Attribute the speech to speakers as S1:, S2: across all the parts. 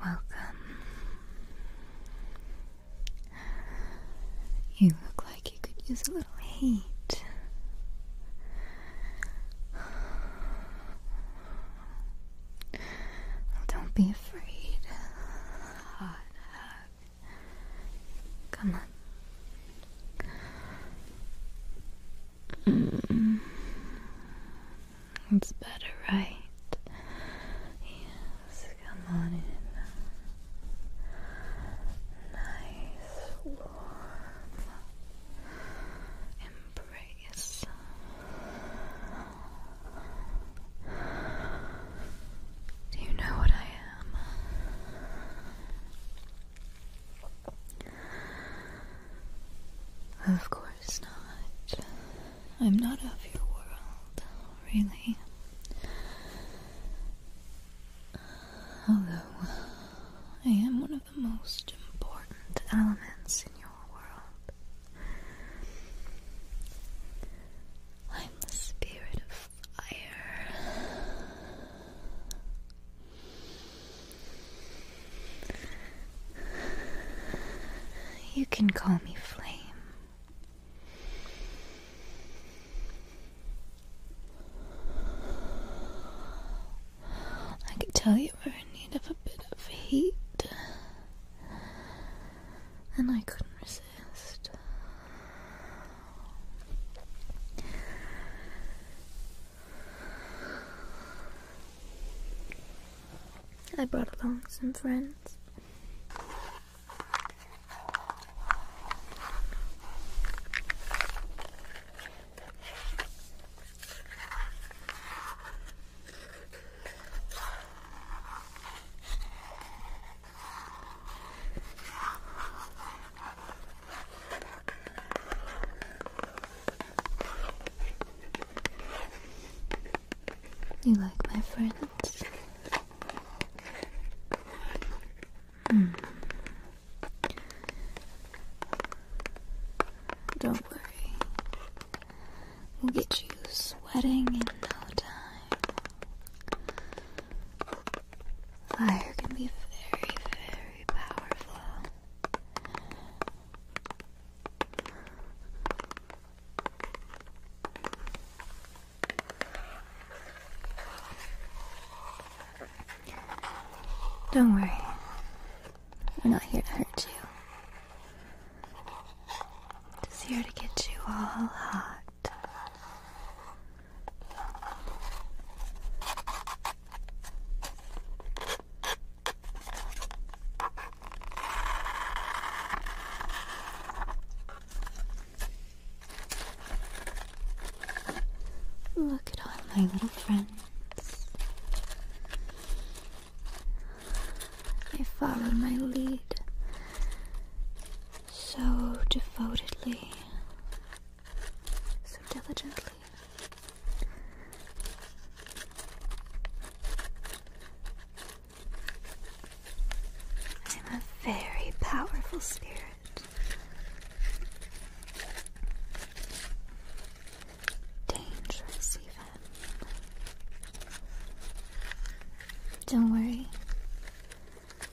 S1: Welcome. You look like you could use a little heat. don't be afraid. Hot hug. Come on. Mm. It's better, right? Yes, come on in. Nice, warm embrace. Do you know what I am? Of course not. I'm not of your world, really. Although, I am one of the most important elements in your world. I'm the spirit of fire. You can call me Flame. I could tell you were in need of a bit of heat, and I couldn't resist. I brought along some friends. You like my friends? Hmm. Don't worry. We'll get you sweating in no time. Fire can be very, very powerful. Don't worry. We're not here to hurt you. Just here to get you all hot Look at all my little friends. They follow my lead so devotedly so diligently. I'm a very powerful spirit. Dangerous, even. Don't worry,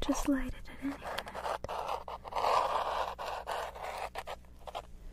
S1: Just light it at any minute.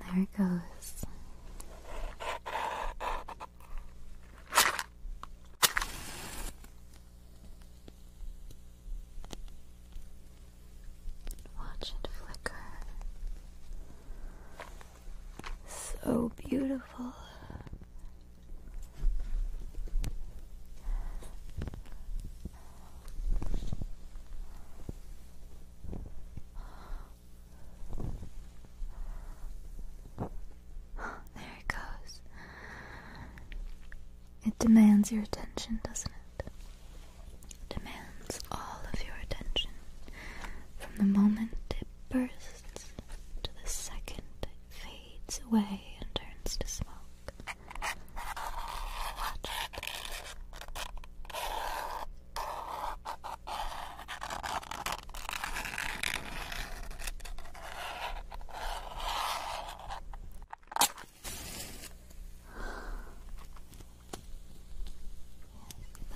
S1: There it goes. Watch it flicker. So beautiful. There it goes. It demands your attention, doesn't it? It demands all of your attention from the moment it bursts to the second it fades away and turns to smoke. Yes,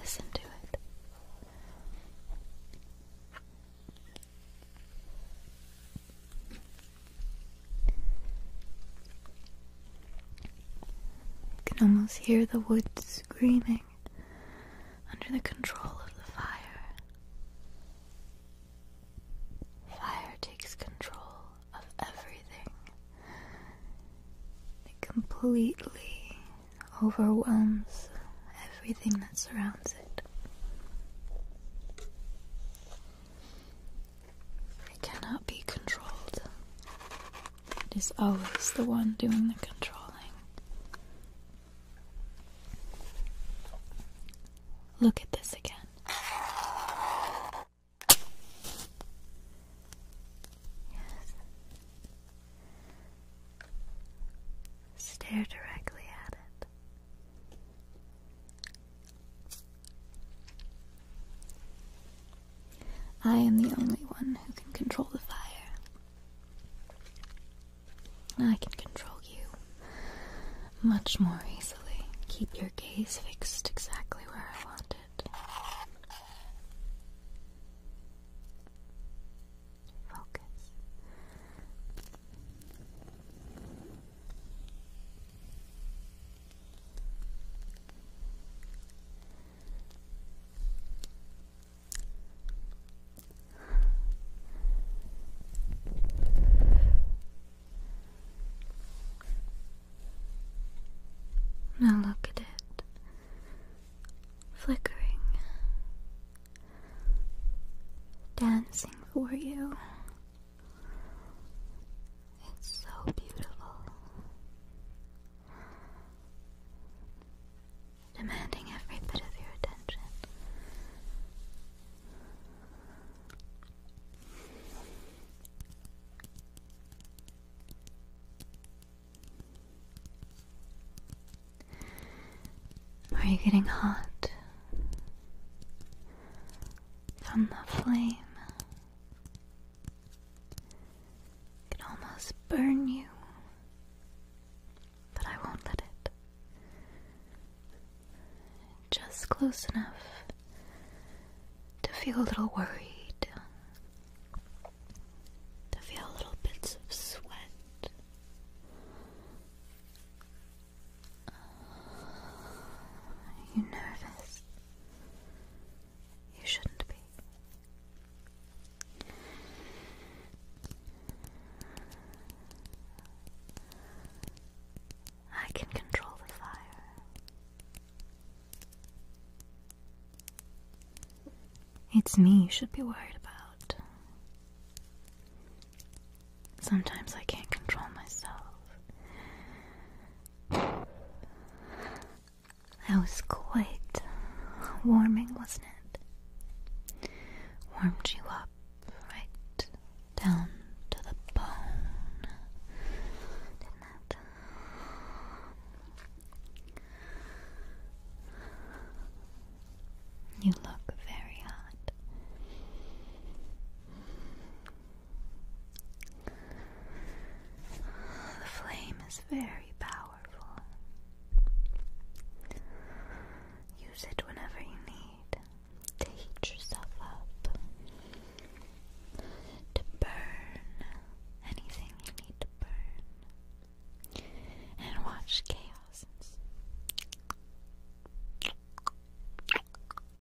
S1: listen to it. You can almost hear the woods screaming under the control of the fire. Fire takes control of everything, it completely overwhelms everything that surrounds it. It cannot be controlled. It is always the one doing the controlling. Look at this again. Yes. Stare directly at it. I am the only one who can control the fire. I can control you much more easily. Keep your gaze fixed exactly where I want it. Focus. Now look at it flickering, dancing for you. It's so beautiful. Demanding every bit of your attention. Are you getting hot from the flame? It almost burn you, but I won't let it. Just close enough to feel a little worried, to feel little bits of sweat. Are nervous? You shouldn't be. I can control the fire. It's me you should be worried about. Sometimes I can't control myself. That was quite warming, wasn't it? Warmed you up right down to the bone, didn't it? You look very hot. The flame is very powerful. Use it whenever you need to heat yourself up, to burn anything you need to burn, and watch chaos.